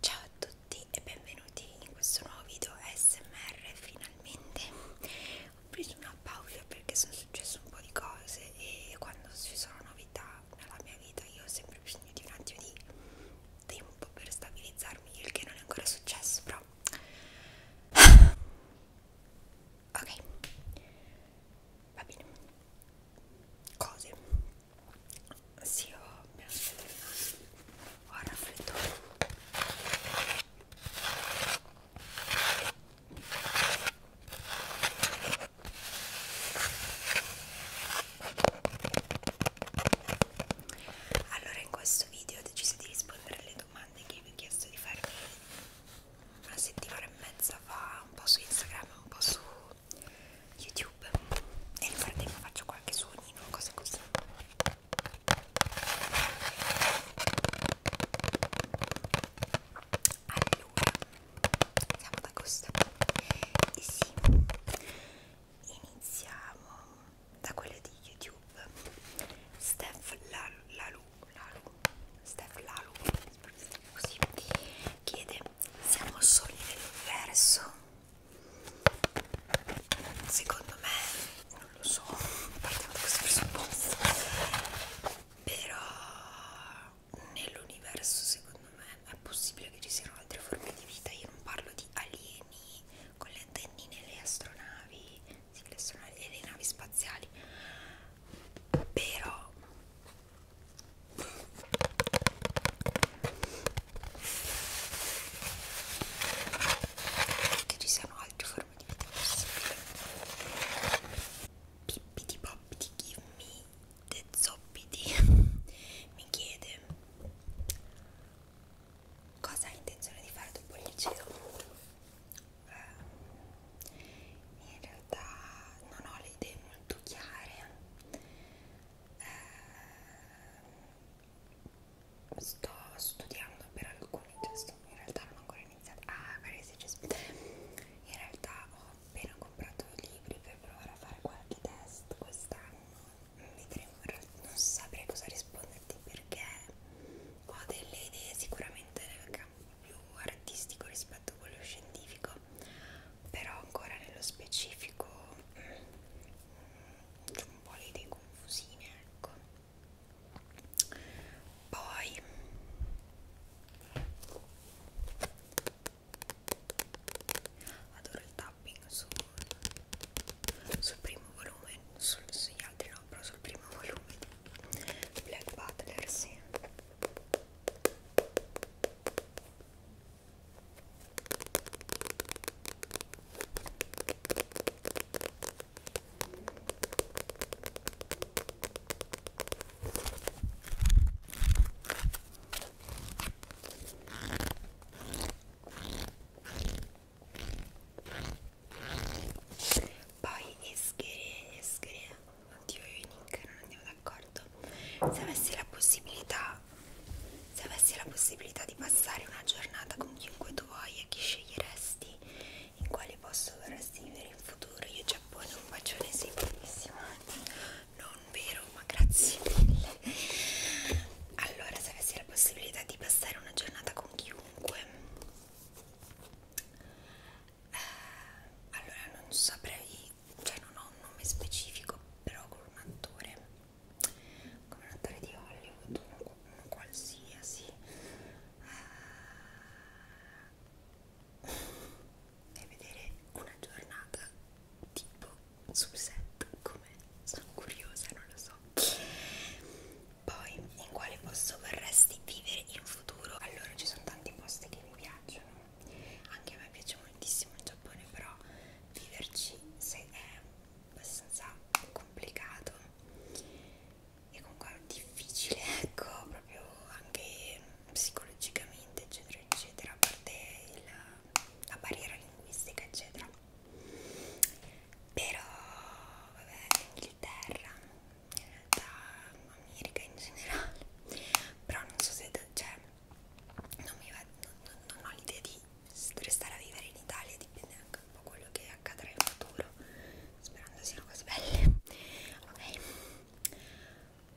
Ciao a tutti e benvenuti in questo nuovo video ASMR finalmente ho preso una pausa perché sono successo un po' di cose e quando ci sono novità nella mia vita io ho sempre bisogno di un attimo di tempo per stabilizzarmi il che non è ancora successo però ok va bene cose sì ho mi ho raffreddore allora in questo video ho deciso di rispondere alle domande che vi ho chiesto di fare una settimana e mezza fa un po' su Instagram un po' su YouTube e nel frattempo faccio qualche suonino, cose così allora, siamo ad agosto e sì, iniziamo da quelle di YouTube Steph Lalu, Lalu, Lalu Steph Lalu così, chiede siamo soli nell'universo secondo me non lo so partiamo da questo presupposto però nell'universo secondo me è possibile che ci siano altre forme di vita io non parlo di alieni con le antennine e le astronavi sì, le sono le navi spaziali però che ci siano altre forme di vita possibili Pippity Poppity give me the zoppity mi chiede cosa hai intenzione di fare dopo il liceo? Eh, in realtà non ho le idee molto chiare. Eh, sto studiando per alcuni, cioè sto, in realtà non ho ancora iniziato. Ah, magari se ci In realtà ho appena comprato libri per provare a fare qualche test quest'anno vedremo, non saprei cosa risponderti perché ho delle idee sicuramente nel campo più artistico rispetto a quello scientifico, però ancora nello specifico mm, c'è un po' le idee confusine, ecco. Poi adoro il tapping su Ball sul primo volume, sul, sugli altri no, però sul primo volume Black Butler, sì poi Eschere, Eschere, oddio io e Nick non andiamo d'accordo. Se avessi la possibilità, se avessi la possibilità di passare una giornata con chiunque tu voglia, chi sceglieresti? In quale posto vorresti vivere in futuro? Io Giappone un bacione, sei bellissima. Non vero, ma grazie mille allora se avessi la possibilità di passare una giornata con chiunque eh, allora non saprei cioè non ho un nome specifico però con un attore come un attore di Hollywood uno, uno qualsiasi eh, e vedere una giornata tipo sul set come sono curiosa non lo so poi in quale posto vorresti vivere in futuro allora ci sono tanti posti che mi piacciono anche a me piace moltissimo il Giappone però viverci se è abbastanza complicato e comunque difficile ecco proprio anche psicologicamente eccetera eccetera a parte il, la barriera linguistica eccetera però vabbè Inghilterra in realtà America in generale però non so se cioè non, mi va, non, non ho l'idea di restare a vivere in Italia dipende anche un po' quello che accadrà in futuro sperando siano cose belle ok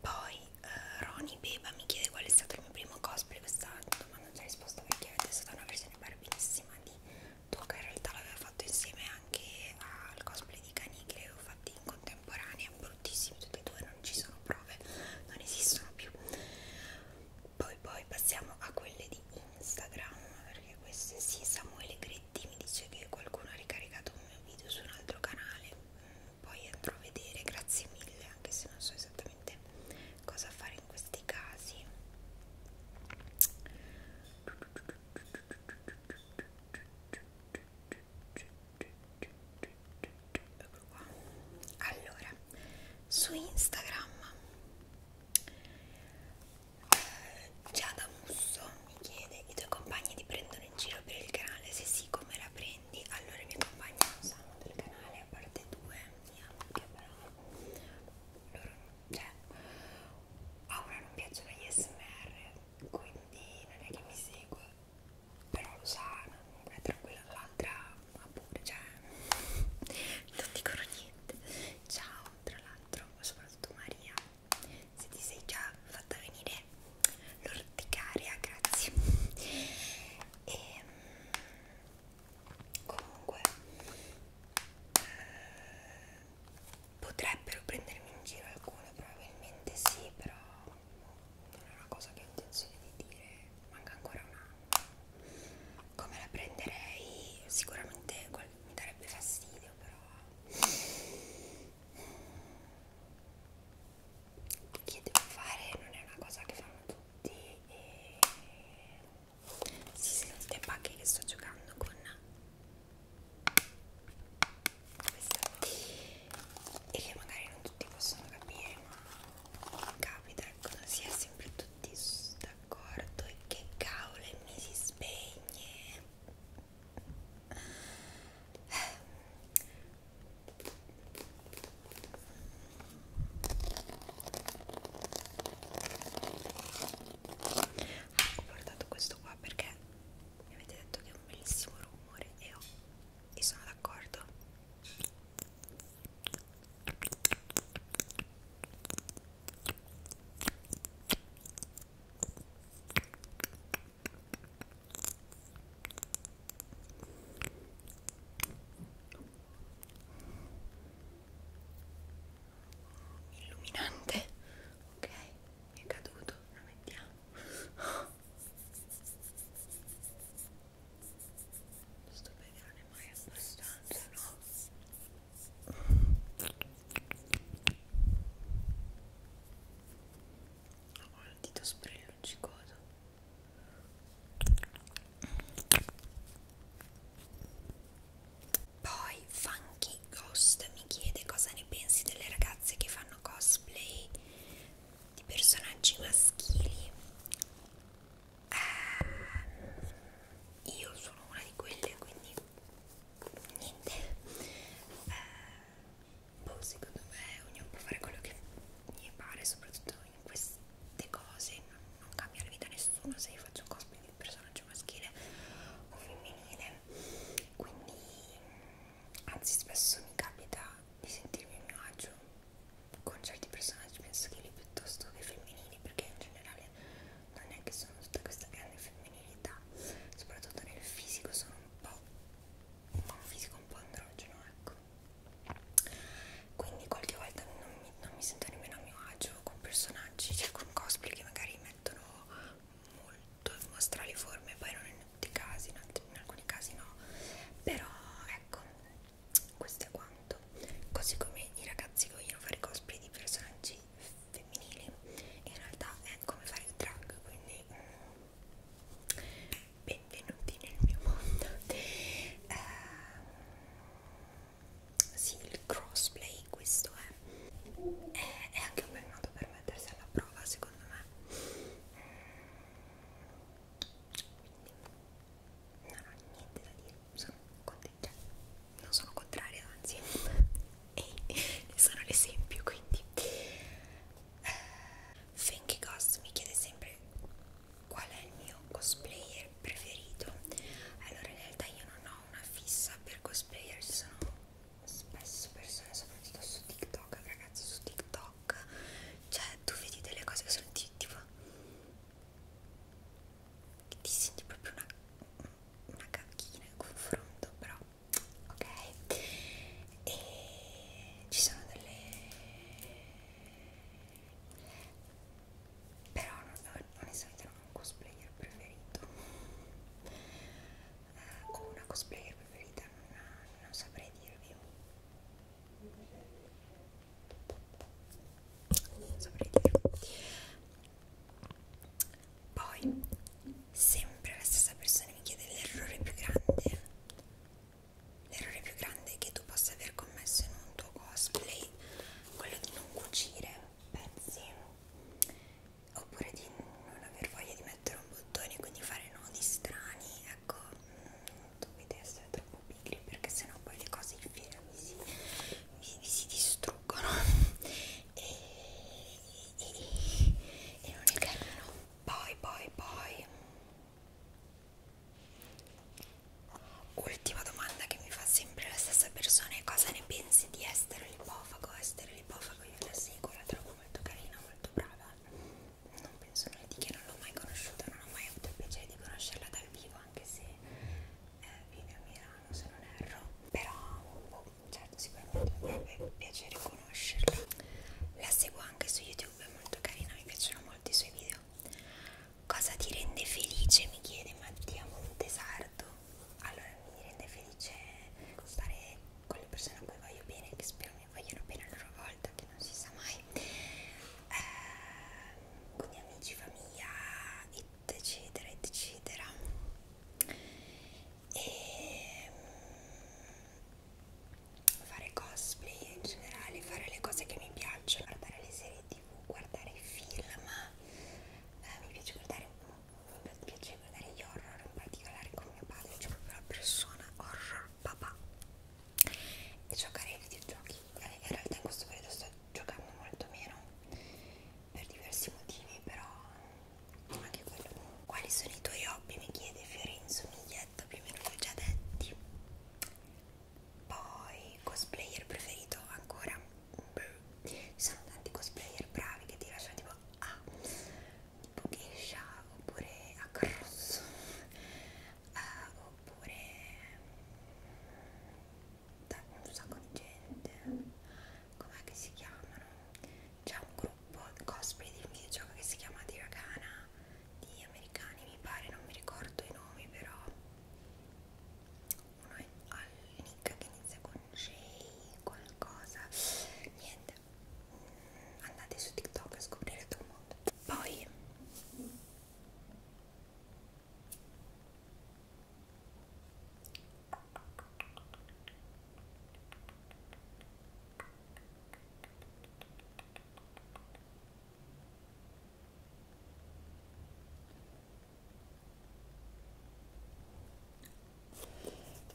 poi uh, eh, Roni Beba mi chiede qual è stato il mio primo cosplay quest'anno domanda già risposta perché avete stata una versione barbissima di tuo che in realtà l'avevo fatto insieme anche al cosplay di cani che avevo fatti in contemporanea, bruttissimi tutti e due, non ci sono prove, non esistono più. Poi poi passiamo a quelle di Instagram, perché queste sì, Samuele Gretti mi dice che qualcuno ha ricaricato un mio video su un altro canale, poi andrò a vedere grazie mille anche se non so esattamente cosa fare in questi casi allora su Instagram eh, Giada Musso mi chiede i tuoi compagni ti prendono in giro per il canale se sì come la prendi quindi allora i miei compagni non sanno del canale a parte due mia che però loro cioè a una non piacciono gli smr quindi non è che mi segue però lo sa è tranquilla l'altra ma pure cioè non dicono niente ciao tra l'altro soprattutto Maria se ti sei già fatta venire l'orticaria, grazie. E mm, comunque eh, potrebbero prendermi in giro alcune, probabilmente sì, però non è una cosa che ho intenzione di dire, manca ancora un anno. Come la prenderei? Sicuramente mi darebbe fastidio, però mm, che devo fare non è una cosa che fanno tutti e si sente anche che sto giocando con questa e che magari non tutti possono capire ma capita cosa sia sempre tutti d'accordo e che cavolo mi si spegne Ah, ho portato questo qua perché mi avete detto che è un bellissimo rumore e, ho, e sono d'accordo illuminante ok mi è caduto lo mettiamo oh. sto bene non è mai abbastanza no ho il dito sprellato è luccicoso poi Funky Ghost mi chiede cosa ne pensi delle ragazze che fanno cosplay di personaggi maschili eh, io sono una di quelle quindi niente eh, boh, secondo me ognuno può fare quello che gli pare, soprattutto in queste cose, non, non cambia la vita a nessuno se io faccio un cosplay di personaggio maschile o femminile, quindi anzi spesso mi capita di sentirmi a mio agio con certi personaggi maschili piuttosto che femminili, perché in generale non è che sono tutta questa grande femminilità, soprattutto nel fisico sono un po' ma un fisico un po' androgeno ecco quindi qualche volta non mi, non mi sento nemmeno a mio agio con personaggi cioè con cosplay che magari mettono molto strali forme poi non in tutti i casi in, altri, in alcuni casi no però ecco questo è quanto così come i ragazzi vogliono fare cosplay di personaggi femminili in realtà è come fare il drag quindi mm, benvenuti nel mio mondo eh, sì il crossplay questo è. è è anche un bel modo per mettersi alla prova secondo me quindi non ho niente da dire sono contenta non sono contraria anzi e ne sono l'esempio quindi Fenky Ghost mi chiede sempre qual è il mio cosplayer preferito allora in realtà io non ho una fissa per cosplayer ci sono spesso persone soprattutto su TikTok ragazzi su TikTok cioè tu vedi delle cose che sono tipo ti senti proprio una, una cacchina in confronto però ok e ci sono delle però non, onestamente non ho un cosplayer preferito eh, o una cosplayer preferita non, non saprei dirvi non saprei dirvi poi, sempre la stessa persona mi chiede l'errore più grande. L'errore più grande che tu possa aver commesso in un tuo cosplay, quello di non cucire pezzi, oppure di non aver voglia di mettere un bottone, quindi fare nodi strani. Ecco, non mm, dovete essere troppo pigri perché sennò poi le cose in fiera vi si, vi, vi si distruggono. E e non è carino poi poi poi ultima domanda che mi fa sempre la stessa persona è cosa ne pensi di Estero Lipofago Estero Lipofago io la seguo la trovo molto carina molto brava non penso nulla di che non l'ho mai conosciuta non ho mai avuto il piacere di conoscerla dal vivo anche se eh, vive a Milano se non erro però boh, certo cioè, sicuramente mi farebbe piacere conoscerla la seguo anche su youtube è molto carina mi piacciono molto i suoi video cosa ti rende felice mi chiede Mattia Montesardo allora mi rende felice stare con le persone a cui voglio bene che spero mi vogliono bene a loro volta che non si sa mai eh, con gli amici famiglia eccetera eccetera e mm, fare cosplay in generale, fare le cose che mi piacciono, guardare le serie tv, guardare i film, eh, mi piace guardare mi piace guardare gli horror, in particolare con mio padre, cioè proprio la persona horror papà e giocare ai videogiochi. Eh, in realtà in questo periodo sto giocavo molto meno per diversi motivi però anche quello quali sono i tuoi hobby mi chiede Fiorenzo Miglietta più o meno l'ho già detti poi cosplayer preferito ancora ci sono tanti cosplayer bravi che ti lasciano tipo a ah, tipo Geisha oppure a Cross uh, ah, oppure da un sacco di gente com'è che si chiamano? c'è un gruppo cosplay di un videogioco che si chiama Diragana di americani mi pare, non mi ricordo i nomi però uno è Nick che inizia con J qualcosa niente mm, andate su TikTok a scoprire tutto il mondo poi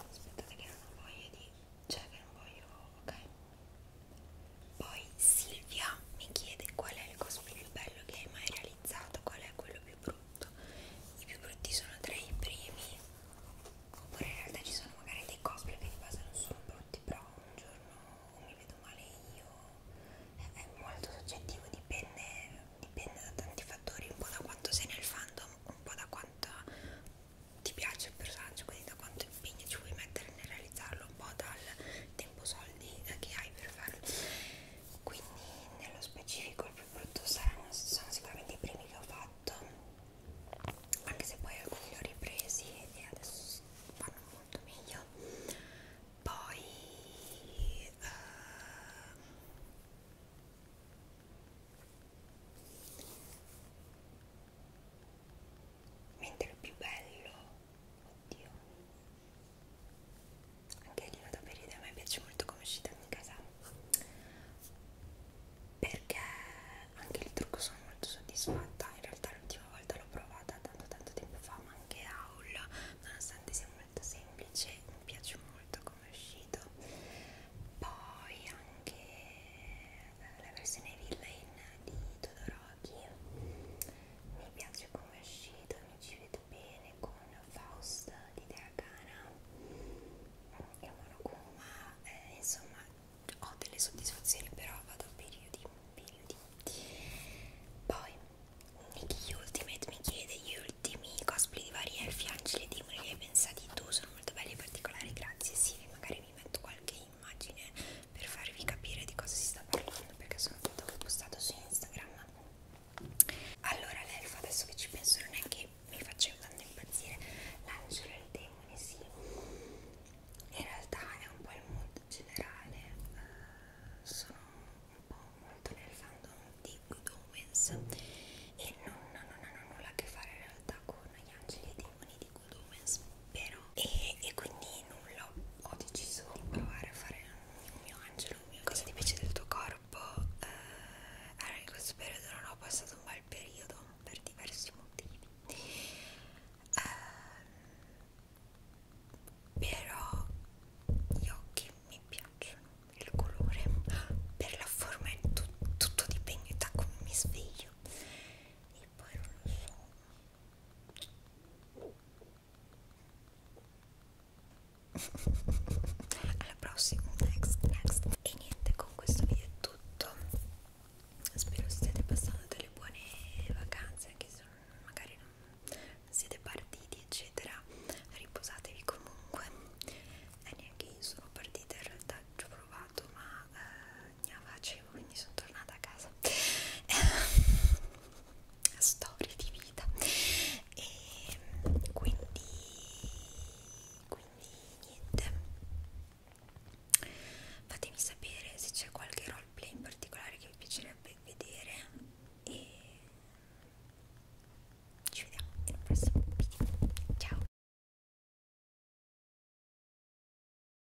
aspettate che non ho voglia di cioè che non voglio ok poi Silvia mi chiede qual è il cosplay più bello che hai mai realizzato analizzato qual è quello più brutto i più brutti sono tra i primi oppure in realtà ci sono magari dei cosplay che di base non sono brutti però un giorno o mi vedo male io è molto soggettivo dipende, dipende da tanti fattori un po' da quanto sei nel fandom un po' da quanto ti piace il personaggio quindi da quanto impegno ci vuoi mettere nel realizzarlo un po' dal tempo soldi che hai per farlo quindi nello specifico il più brutto saranno, sono sicuramente i primi che ho fatto anche se poi alcuni li ho ripresi e adesso vanno molto meglio poi uh, mentre il più bello oddio anche lì vado per idea, a me piace molto come uscita in casa perché anche il trucco sono molto soddisfatta in realtà l'ultima volta l'ho provata tanto tanto tempo fa ma anche haul nonostante sia molto semplice mi piace molto come è uscito poi anche la versione villain di Todorò giochi mi piace come è uscito mi ci vedo bene con Faust di Deagana e Monokuma eh, insomma ho delle soddisfazioni però vado a periodi, periodi poi Nicky Ultimate mi chiede gli ultimi cosplay di vari elfi, angeli e dimoni li hai pensati tu sono molto belli e particolari grazie sì magari vi metto qualche immagine per farvi capire di cosa si sta parlando perché sono foto che ho postato su Instagram allora l'elfa adesso che ci penso non è che mi faceva tanto impazzire l'angelo e il demone sì in realtà è un po' il mood generale uh, sono un po' molto nel fandom di Good Omens e non, non, non hanno nulla a che fare in realtà con gli angeli e i demoni di Good Omens vero? E, e quindi nulla, ho deciso di provare a fare un mio angelo, un mio cosa ti piace del tuo corpo? Eh, allora in questo periodo non ho passato un bel periodo per diversi motivi. Eh, però gli occhi mi piacciono, il colore, per la forma è tu, tutto dipende da come mi sveglio. E poi non lo so, alla prossima next next e niente con questo video è tutto spero stiate passando delle buone vacanze anche se magari non siete partiti eccetera riposatevi comunque e neanche io sono partita in realtà ci ho provato ma eh, mia facevo quindi sono tornata a casa storie di vita e quindi quindi niente fatemi sapere se c'è qualche roleplay in particolare che vi piacerebbe vedere e ci vediamo nel prossimo video ciao